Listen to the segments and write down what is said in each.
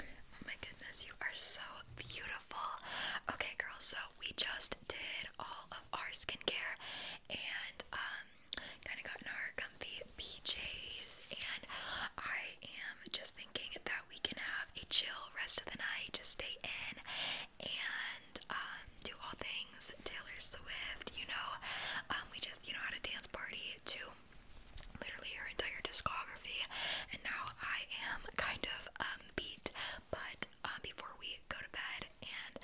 Oh my goodness, you are so beautiful. Okay, girls, so we just did all of our skincare and um kind of got in our comfy PJs and I am just thinking that we can have a chill rest of the night, just stay in and um do all things Taylor Swift, you know. Um we just you know how to dance party too literally her entire discography, and now I am kind of um, beat. But um, before we go to bed and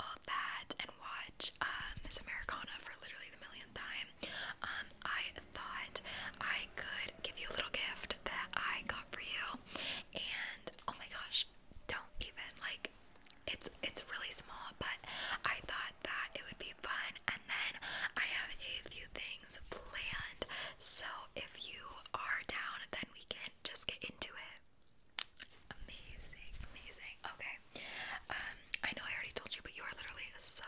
all that, and watch uh, Miss Americana for literally the millionth time, um, I thought I could give you a little gift that I got for you, and oh my gosh, don't even like. It's it's really small, but I thought that it would be fun. And then I have a few things planned. So if you are down, then we can just get into it. Amazing, amazing. Okay. Um, I know I already told you, but you are literally so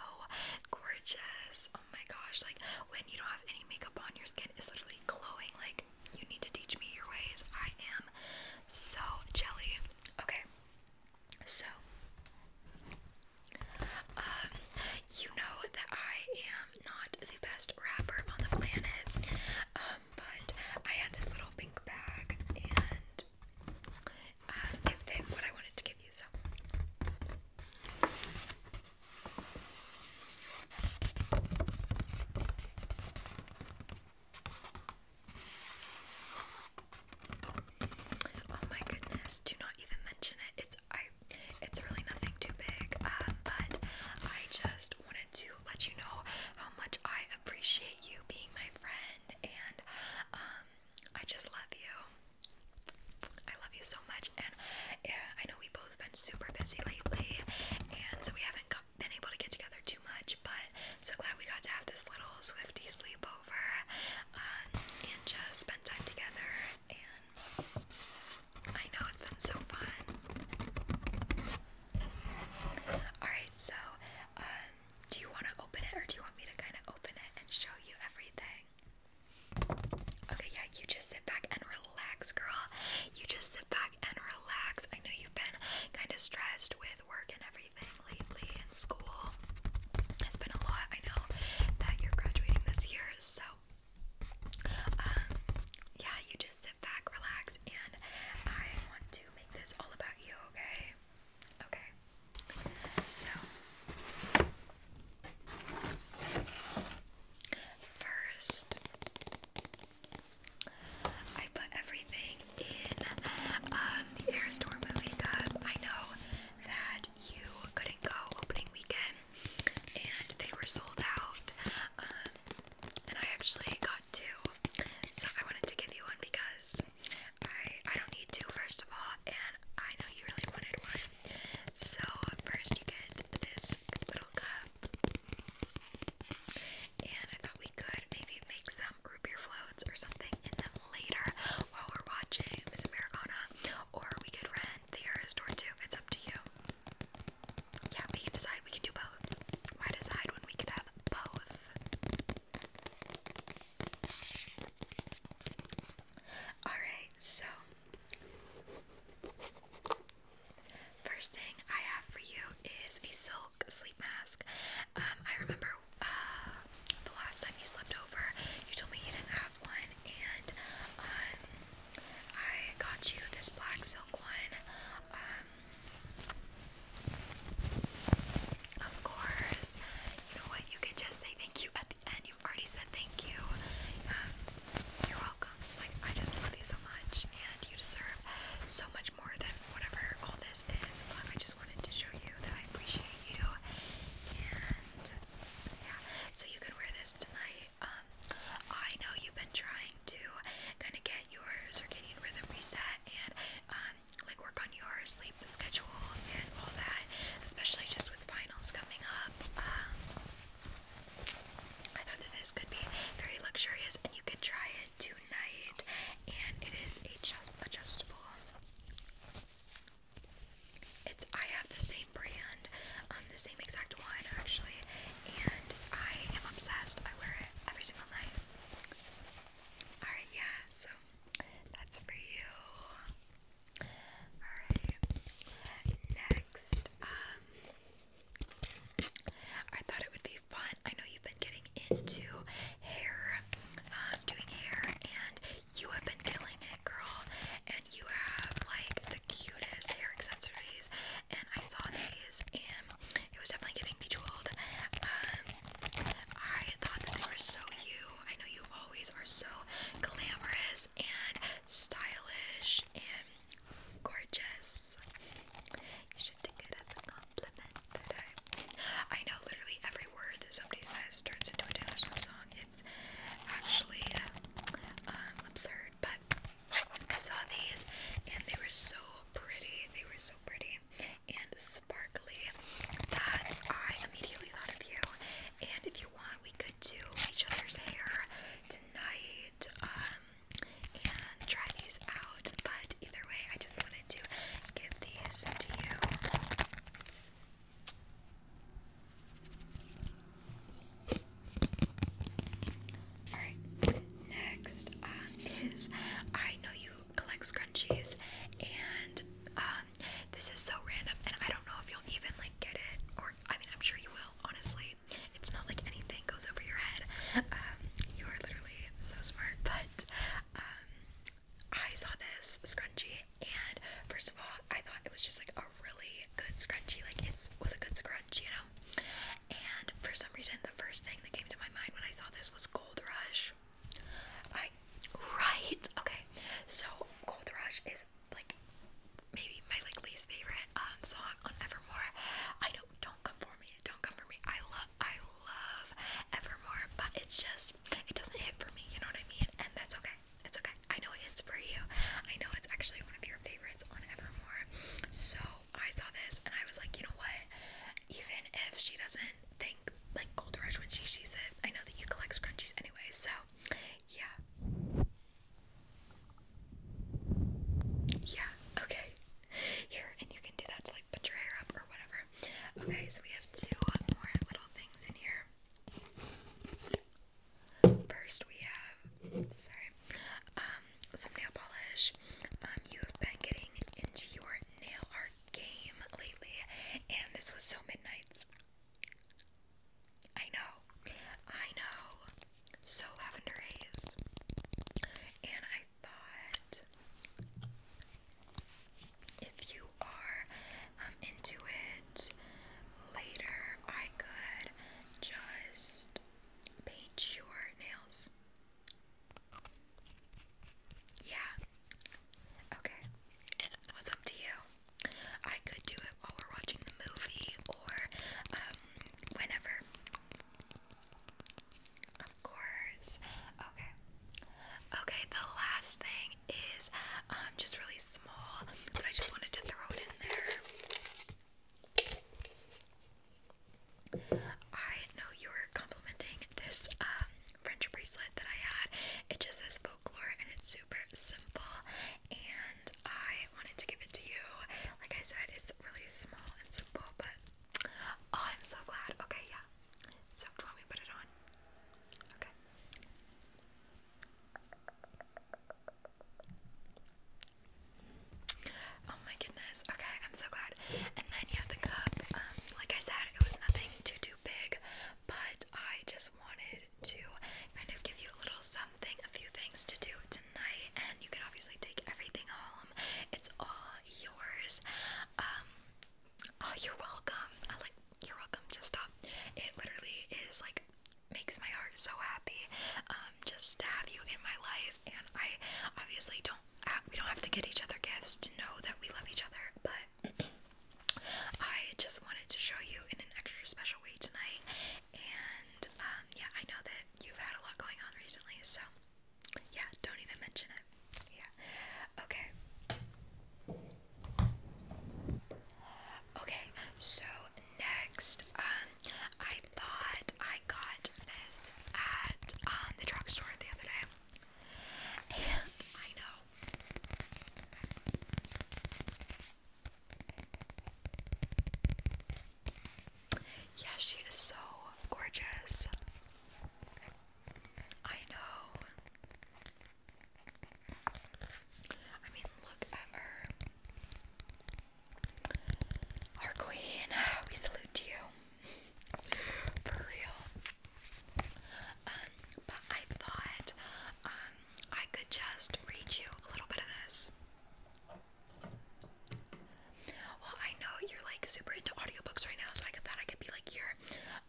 gorgeous. Oh my gosh. Like when you don't have any makeup on, your skin is literally glowing. Like you need to teach me your ways. I am so jelly. Okay. So, um, you know that I am not the best rapper on the planet, um, but I had this little pink bag and um, it fit what I wanted to give you. So. Oh my goodness, do not even mention it. It's I it's really nothing too big. Um, but I just wanted to let you know how much I appreciate you being my friend and um I just love you. I love you so much and yeah, I know we both been super busy lately and so we haven't been able to get together too much, but so glad we got to have this little Swifty sleepover over uh, and just spend time together. And I know it's been so fun. Alright, so um, do you want to open it or do you want me to kind of open it and show you everything? Okay, yeah, you just sit back and relax, girl. You just sit back and relax. I know you've been kind of stressed with work and everything, lately in school has been a lot. I know that you're graduating this year, so um, yeah, you just sit back, relax, and I want to make this all about you, okay? Okay, so first, I put everything in um, the Air movie cup. I know that you couldn't go opening weekend and they were sold out. Um, and I actually got two. So I wanted to give you one because I I don't need two first of all and I know you really wanted one. So first you get this little cup. And I thought we could maybe make some root beer floats or something in them later while we're watching Miss Americana, or we could rent the area store too. It's up to you. Yeah, we can decide. We can do both. Why decide when we could have both? Alright, so first thing I have for you is a silk sleep mask. Um, I remember uh, the last time you slept over, you told me you didn't have one, and um, I got you this black silk one. Um, of course, you know what? You could just say thank you at the end. You've already said thank you. Um, you're welcome. Like I just love you so much, and you deserve so much more than whatever all this is. But I just wanted to show you that I appreciate so you can wear this tonight. Um, I know you've been trying to kind of get your circadian rhythm reset and um, like work on your sleep schedule and all that, especially just with finals coming up. Um, I thought that this could be very luxurious and you could try it tonight. And it is adjust adjustable. It's I have the same brand, um, the same exact one actually, and I am obsessed. I wear it every single night. Alright, yeah, so that's for you. Alright. Next, um I thought it would be fun. I know you've been getting into hair, um, doing hair, and you have been killing it, girl. And you have like the cutest hair accessories. And I saw these, and it was definitely giving me bejeweled. Um, I thought that they were so you. I know you always are so glamorous and stylish and gorgeous. You should take it as a compliment that I know literally every word that somebody says turns into a Taylor Swift song. It's actually um, absurd, but I saw these and they were so pretty. They were so pretty and sparkly that I immediately thought of you. And if you want, we could do each other's hair tonight um, and try these out. But either way, I just wanted to give these to you. Alright, next um, is I know you collect scrunchies, and um, this is so random, and I don't know if you'll even like get it, or I mean, I'm sure you will, honestly. It's not like anything goes over your head. Um, you are literally so smart, but I saw this scrunchie and first of all I thought it was just like a really good scrunchie like it was a good scrunch you know and for some reason the first thing that came to my mind when I saw this was Gold Rush I right okay so Gold Rush is like maybe my like least favorite um song on Evermore I do don't come for me don't come for me I love I love Evermore but it's just it doesn't hit for me, you know what I mean? And that's okay. It's okay. I know it hits for you. I know it's actually one of your favorites on Evermore. So I saw this and I was like, you know what? Even if she doesn't think like Gold Rush when she sees it, I know that you collect scrunchies anyway, so yeah. Yeah, okay. Here, and you can do that to like put your hair up or whatever. Okay, so we have two more little things in here. First, we have sorry, um, some nail polish. Um, you have been getting into your nail art game lately, and this was so midnight's. I know, I know. So lavender haze, and I thought if you are um, into it later, I could just paint your nails. Yeah. Okay. What's up to you? I could do it while we're watching the movie or um, whenever. Of course. Okay. Okay, the last thing is um just really small, but I just wanted to throw it in there. I know you were complimenting this um French bracelet that I had. It just says folklore and it's super simple and I wanted to give it to you. Like I said, it's really small and simple, but oh, I'm so glad. Okay, yeah soaked when we put it on. Okay. Oh my goodness. Okay, I'm so glad. And then yeah, the cup. Um, like I said, it was nothing too too big, but I just wanted to kind of give you a little something, a few things to do tonight, and you can obviously take everything home. It's all yours. Um, Oh, you're welcome. like you're welcome. Just stop. It literally is like makes my heart so happy. Um, just to have you in my life, and I obviously don't. Have, we don't have to get each other gifts to know that we love each other, but I just wanted to show you in an extra special way tonight. And um, yeah, I know that you've had a lot going on recently, so yeah, don't even mention it. Yeah. Okay. Okay, so next, um, I thought I got this at um, the drugstore the other day. And I know. Yeah, she is so gorgeous. I know. I mean, look at her. Our queen, we salute you. For real. Um, but I thought um, I could just read you a little bit of this. Well, I know you're like super into audiobooks right now, so I thought I could be like your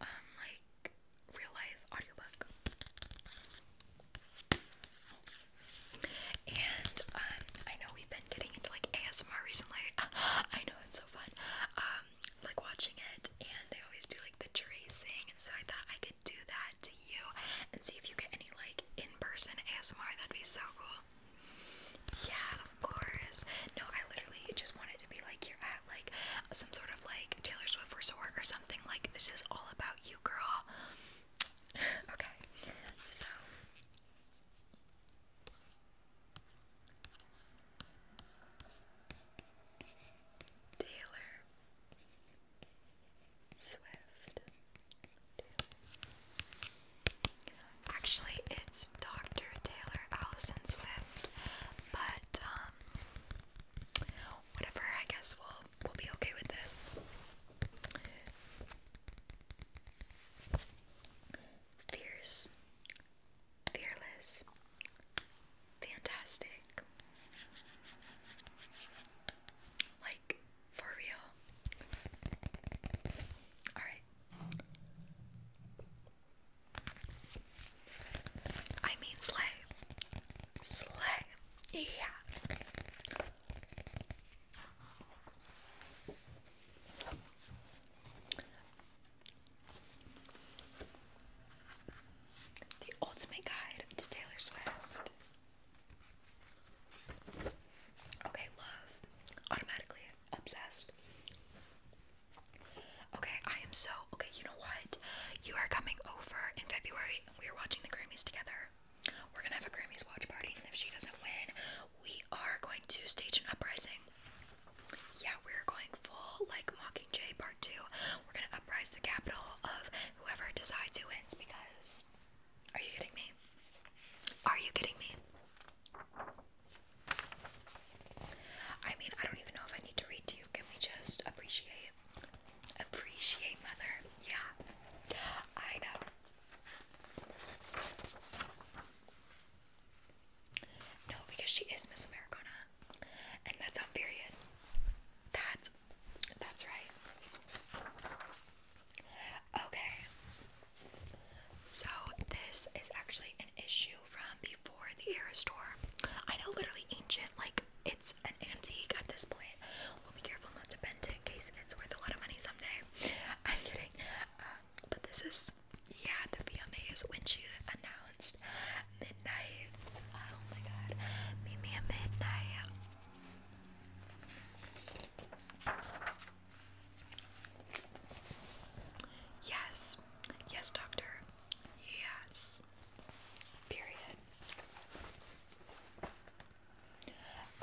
um like real life audiobook. And um I know we've been getting into like ASMR recently. I know it's so fun. Um like watching it and they always do like the tracing and so I thought I could do that to you and see if you get any like in person ASMR that'd be so cool. Yeah, of course. No, I literally just want it to be like you're at like some sort of like Taylor Swift resort or something. Like this is all about you, girl. okay, so. Taylor Swift. Taylor Actually, it's Dr. Taylor Allison Swift, but um, whatever. I guess we'll we'll be okay with this. Fierce, fearless, fantastic. Like for real. All right. I mean slay. Slay. Yeah. The Ultimate Guide to Taylor Swift. Okay, love. Automatically obsessed. Okay, I am so okay. You know what? You are coming over in February, and we are watching the Grammys together. We're gonna have a Grammys watch party, and if she doesn't win, we are going to stage an uprising. Yeah, we're going full like Mockingjay Part Two. We're gonna uprise the capital of whoever decides who wins. Because, are you kidding me? Are you kidding me? I mean, I don't even know if I need to read to you. Can we just appreciate? Appreciate mother. Yeah. I know. No, because she is Miss Americana. And that's on period. That's that's right. Okay. So this is actually an issue from before the era store. I know literally ancient, like it's an antique at this point. We'll be careful not to bend it in case it's worth a lot of money someday. I'm kidding. Um, but this is yeah, the VMAs when she announced midnight. Oh my god. Meet me at midnight. Yes. Yes, doctor. Yes. Period.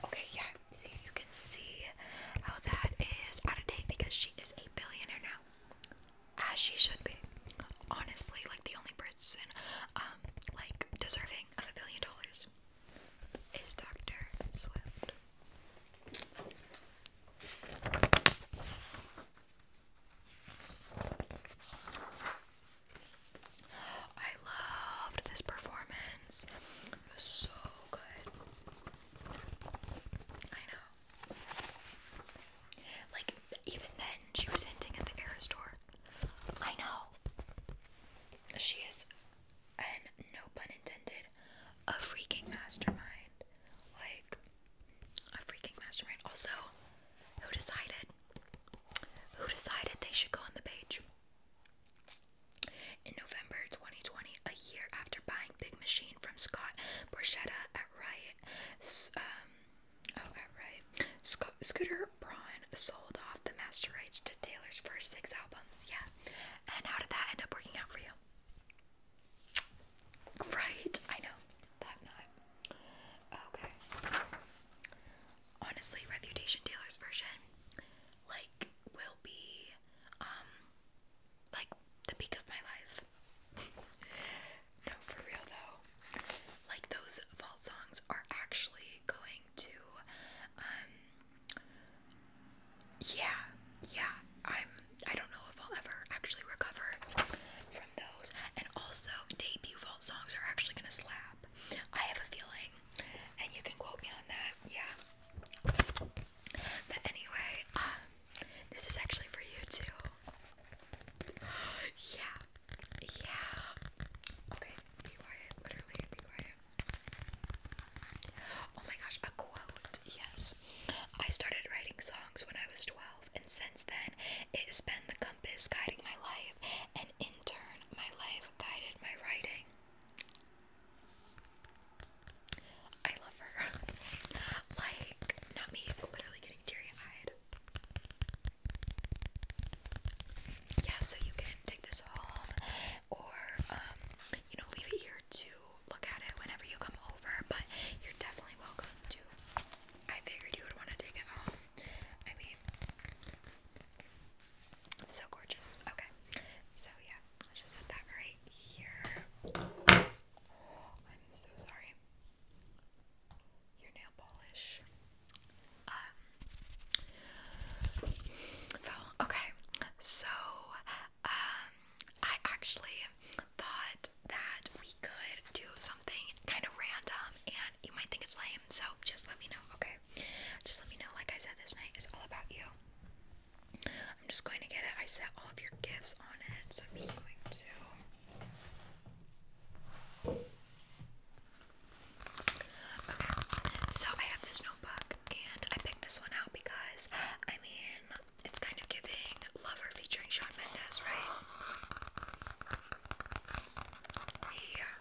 Okay, yeah. See, you can see how that is out of date because she is a billionaire now. As she should be. Honestly, like the only person um like deserving of a billion dollars is Dr. Swift. I loved this performance. It was so good. I know. Like, even then, she was hinting at the Air Store. I know. She is and no pun intended, a freaking mastermind. Like, a freaking mastermind. Also, who decided? Who decided they should go on the page? In November 2020, a year after buying Big Machine from Scott Borchetta at right, um, oh, at Riot, Sco Scooter Braun sold off the master rights to Taylor's first six albums. Yeah. And how did that end up working out for you? Right, I know Okay. Honestly, Reputation Taylor's version, like, will be, um, like the peak of my life. no, for real though. Like those vault songs are actually going to, um, yeah, yeah, I'm I don't know if I'll ever actually recover from those. And also debut vault songs are actually gonna slap. I have a feeling, and you can quote me on that, yeah. But anyway, um this is actually for you too. Yeah. Yeah. Okay, be quiet. Literally be quiet. Oh my gosh, a quote. Yes. I started writing songs when I was 12, and since then, it has been the compass guiding my life, and in turn, my life guided my writing. I love her. like, not me, but literally getting teary eyed. Yeah, so you can take this home or um, you know, leave it here to look at it whenever you come over, but you're definitely welcome to. I figured you would want to take it home. I mean, so gorgeous. Okay. So yeah, just set that right here. I'm so sorry. Your nail polish. Um, Okay. So, um, I actually thought that we could do something kind of random, and you might think it's lame. So just let me know. Okay. Just let me know. Like I said, this night is all about you. I'm just going to get it. I set all of your gifts on it, so I'm just going to. Okay, so I have this notebook, and I picked this one out because, I mean, it's kind of giving Lover featuring Shawn Mendes, right? Yeah.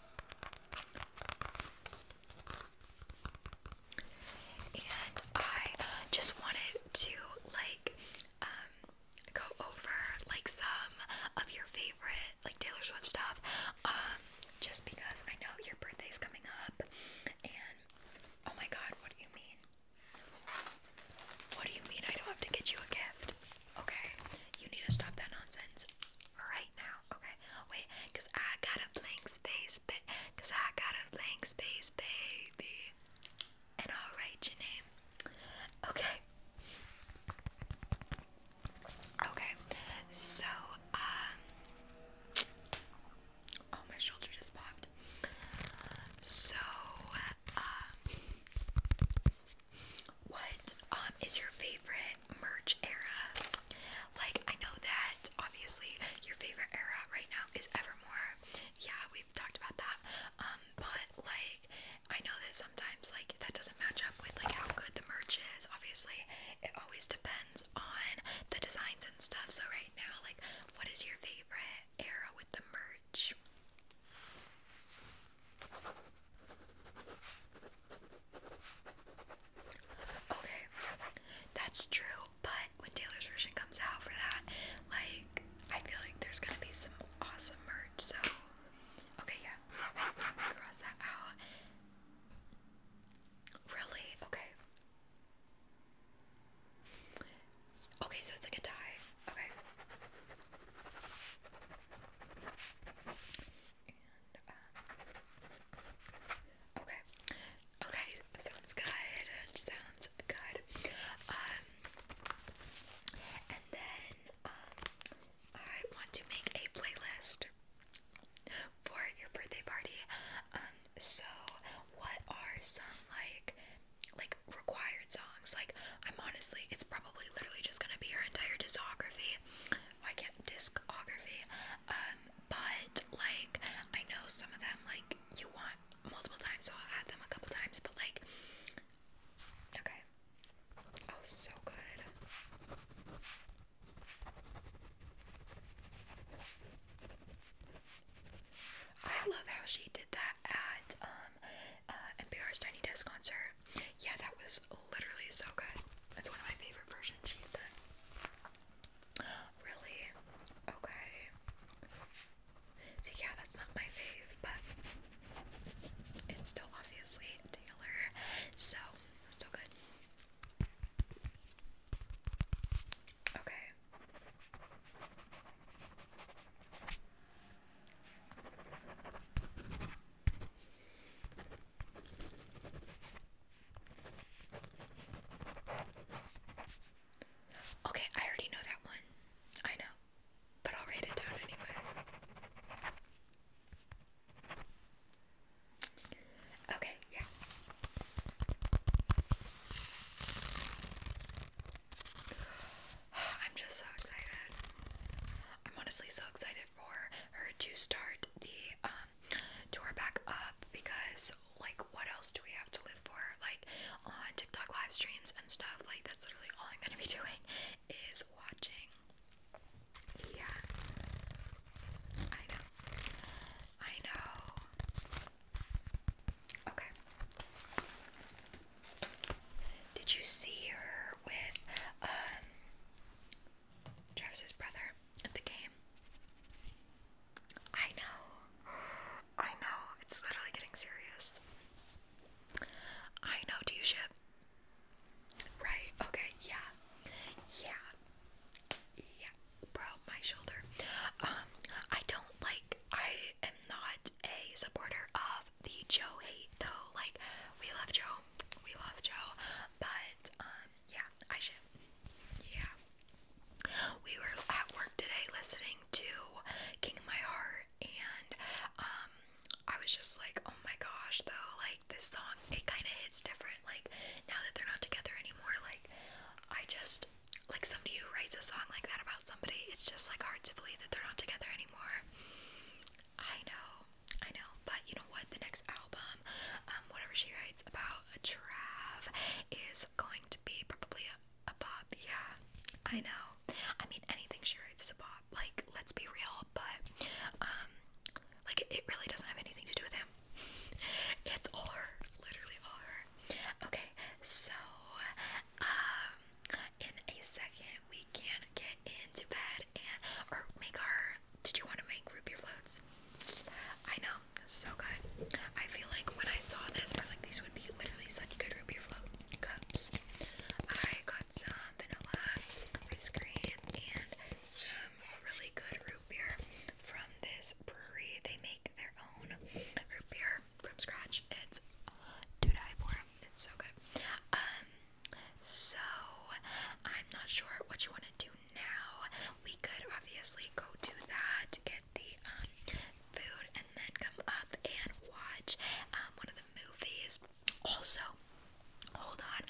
And I uh, just wanted to, like, um, go over, like, some of your favorite, like, Taylor Swift stuff um, just because I know your birthday's coming up, and oh my god, what do you mean? What do you mean I don't have to get you a gift? Okay, you need to stop that nonsense right now. Okay, wait, cause I got a blank space, but cause I got a blank space, baby. And I'll write your name. Okay. Okay. So, um, Oh, my shoulder just popped. So, um, what um, is your favorite merch era? Like, I know that obviously your favorite era right now is Evermore. Yeah, we've talked about that. Um, but like, I know that sometimes like that doesn't match up with like how good the merch is. Obviously, it always depends on the designs and stuff. So, right now, like, what is your favorite era with the merch? Okay, that's true, but when Taylor's version comes out for that, like, I feel like there's gonna be some awesome merch. So, okay, yeah, cross that out. Really? Okay. Okay, so it's like a tie. Okay. Um, okay. Okay, sounds good. Sounds good. Um, and then um, I want to make a playlist for your birthday party. Um, so what are some like like required songs? Like I'm honestly it's probably literally just gonna be her entire discography. Why can't discography? Um, but like I know some of them like you want multiple times, so I'll add them a couple times, but like okay. Oh so good. I love how she did that at um uh NPR's Tiny Desk concert. Yeah, that was literally so good. That's one of my favorite versions she's done. Really? Okay. See, yeah, that's not my fave, but it's still obviously Taylor, so still good. Okay. Okay, I already know that one. I know. But I'll write it down anyway. Okay, yeah. I'm just so excited. I'm honestly so excited for her to start the um tour back up because like what else do we have to live for? Like on TikTok live streams and stuff, like that's literally all I'm gonna be doing is watching yeah. I know. I know. Okay. Did you see her with um Travis's brother at the game? I know. I know. It's literally getting serious. I know, do you ship? Right, okay, yeah. Yeah. Yeah. Bro, my shoulder. Um, I don't like I am not a supporter of the Joe hate though. Like, we love Joe. We love Joe. But um yeah, I should yeah. We were at work today listening to King of My Heart and um I was just like, oh oh my gosh though like this song it kind of hits different like now that they're not together anymore like I just like somebody who writes a song like that about somebody it's just like hard to believe that they're not together anymore I know I know but you know what the next album um whatever she writes about a Trav is going to be probably a, a bop yeah I know I mean anything she writes is a bop like let's be real but um like it really doesn't have anything to do with him. It's all her, literally all her. Okay, so um in a second we can get into bed and or make our did you want to make root beer floats? I know, so good. I feel like when I saw this, I was like, these would be literally such good root beer float cups. I got some vanilla ice cream and some really good root beer from this brewery. They make their own root beer from scratch. It's to die for. It's so good. Um, so I'm not sure what you want to do now. We could obviously go do that, get the um food, and then come up and watch um one of the movies. Also, hold on.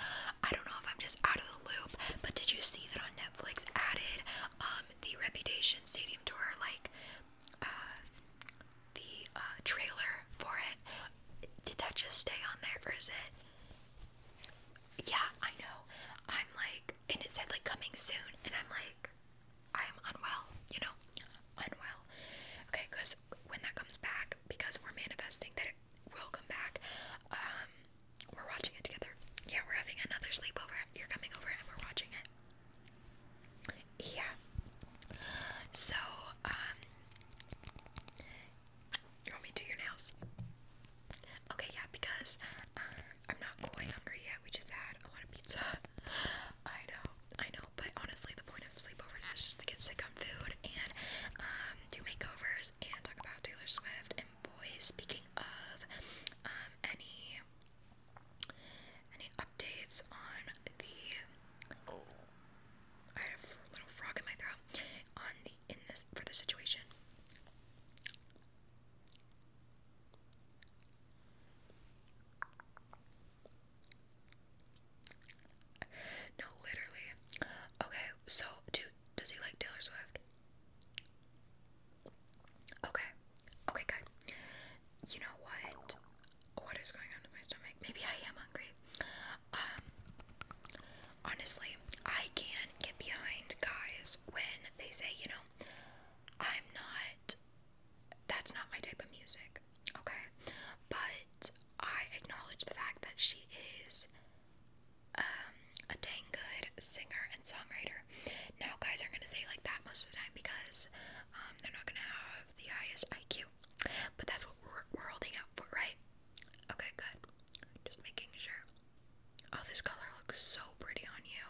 I don't know if I'm just out of the loop, but did you see that on Netflix added um the Reputation Stadium tour like uh the uh trailer for it? Did that just stay on there or is it Yeah, I know. I'm like and it said like coming soon and I'm like I am unwell, you know, unwell. Okay, because when that comes back, because we're manifesting that it will back. Um, we're watching it together. Yeah, we're having another sleepover. You're coming over and we're watching it. Yeah. So, um, you want me to do your nails? Okay, yeah, because uh, I'm not quite hungry yet. We just had a lot of pizza. I know, I know, but honestly, the point of sleepovers is just to get sick on food and um, do makeovers and talk about Taylor Swift. And boys, speaking of um, any any updates on the I had a little frog in my throat on the in this for the situation. No, literally. Okay, so dude, does he like Taylor Swift? Okay. Okay, good. You know what? What is going on with my stomach? Maybe I am hungry. Um honestly, I can get behind guys when they say, you know, I'm not that's not my type of music. Okay? But I acknowledge the fact that she is um, a dang good singer and songwriter. Now, guys are going to say like that most of the time because um, they're not going to have the highest IQ. But that's what we're, holding out for, right? Okay, good. Just making sure. Oh, this color looks so pretty on you.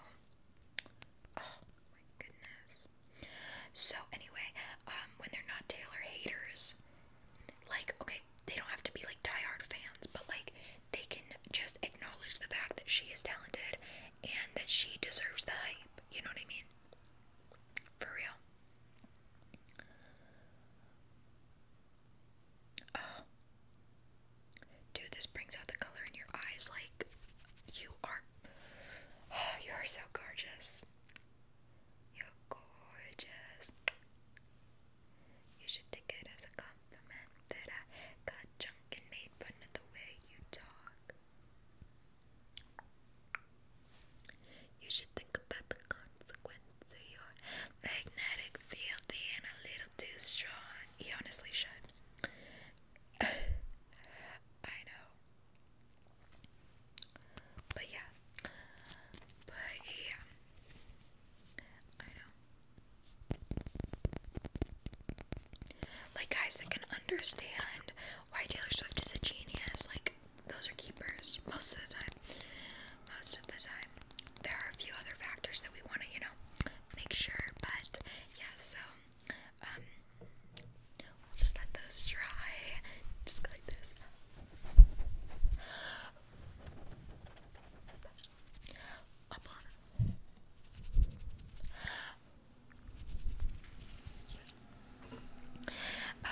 Oh, my goodness. So, anyway, um, when they're not Taylor haters, like okay, they don't have to be like diehard fans, but like they can just acknowledge the fact that she is talented and that she deserves the hype. You know what I mean? For real. Ah. Dude, this brings out the color in your eyes. Like, you are. you are so gorgeous. You're gorgeous. You should take it as a compliment that I got drunk and made fun of the way you talk. You should think about the consequence of your magnetic field being a little too strong. You honestly should. I know. But yeah. But yeah. I know. Like guys that can understand why Taylor Swift is a genius, like those are keepers most of the time. Most of the time. There are a few other factors that we want to, you know, make sure, but yeah, so um We'll just let those dry. Just go like this. Up on.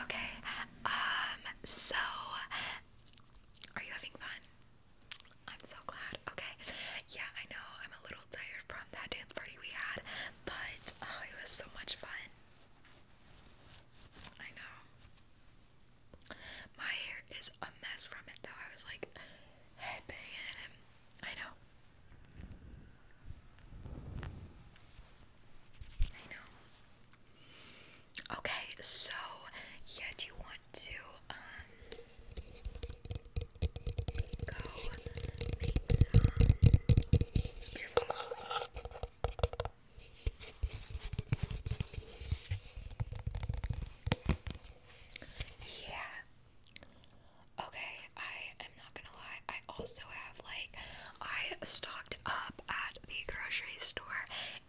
Okay. Um. So, are you having fun? I'm so glad. Okay. Yeah, I know. I'm a little tired from that dance party we had, but oh, it was so much fun. I know. My hair is a mess from it, though. I was like headbanging him. I know. I know. Okay, so yeah, do you want to um go make some yeah. Okay, I am not gonna lie. I also have like I stocked up at the grocery store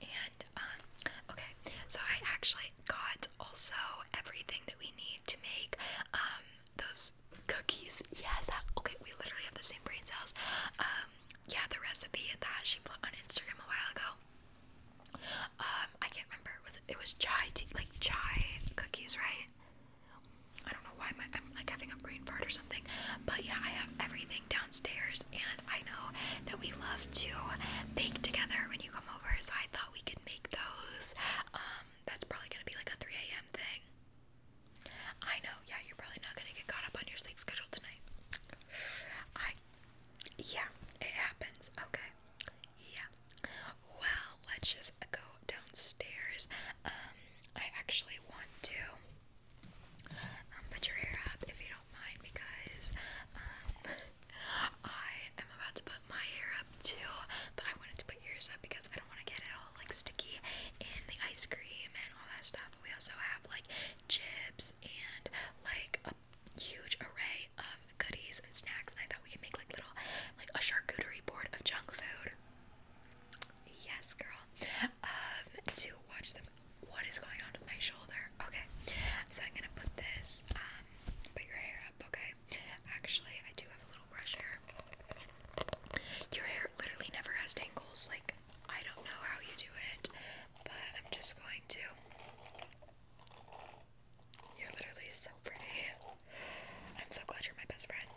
and um, okay, so I actually got also everything that we need to make um, those Cookies. Yes. Okay, we literally have the same brain cells. Um, yeah, the recipe that she put on Instagram a while ago. Um, I can't remember. It was it was chai tea, like chai cookies, right? I don't know why my, I'm like having a brain fart or something. But yeah, I have everything downstairs, and I know that we love to bake together when you come over. So I thought we could make those. Um, that's probably gonna be like a 3 a.m. thing. I know, yeah, you're probably not gonna get caught up on your sleep schedule tonight. I, yeah, it happens. Okay, yeah. Well, let's just go downstairs. Um, I actually want to um, put your hair up if you don't mind because um, I am about to put my hair up too, but I wanted to put yours up because I don't want to get it like sticky in the ice cream and all that stuff. We also have like chips and like a huge array of goodies and snacks. I thought we could make like little like a charcuterie board of junk food. Yes, girl. Um, to watch them. What is going on with my shoulder? Okay, so I'm gonna put this. Um, put your hair up. Okay. Actually, I do have a little don't hair. Your hair literally never has tangles. Like, I don't know how you do it, but I'm just going to. You're literally so pretty. I'm so glad you're my best friend.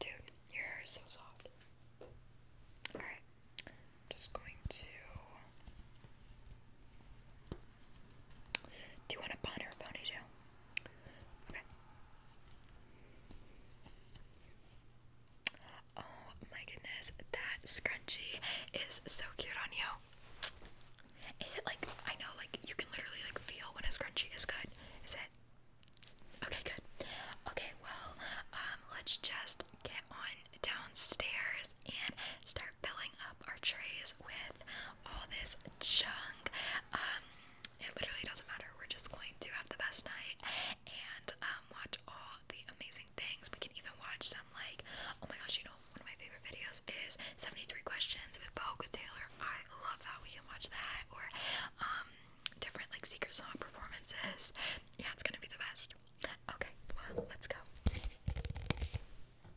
Dude, your hair is so soft. Alright, just going to do you want a bonnet or a ponytail? Okay. Oh my goodness, that scrunchie is so cute on you. Is it like I know like you can literally like feel when a scrunchie is good. Is it? Okay, good. Okay, well, um let's just get on downstairs and start filling up our trays with all this junk. Um, it literally doesn't matter. We're just going to have the best night and um, watch all the amazing things. We can even watch some like, oh my gosh, you know, one of my favorite videos is 73 Questions with Vogue with Taylor. I love that. We can watch that or um, different like secret song performances. Yeah, it's gonna be the best. Okay, well, let's go.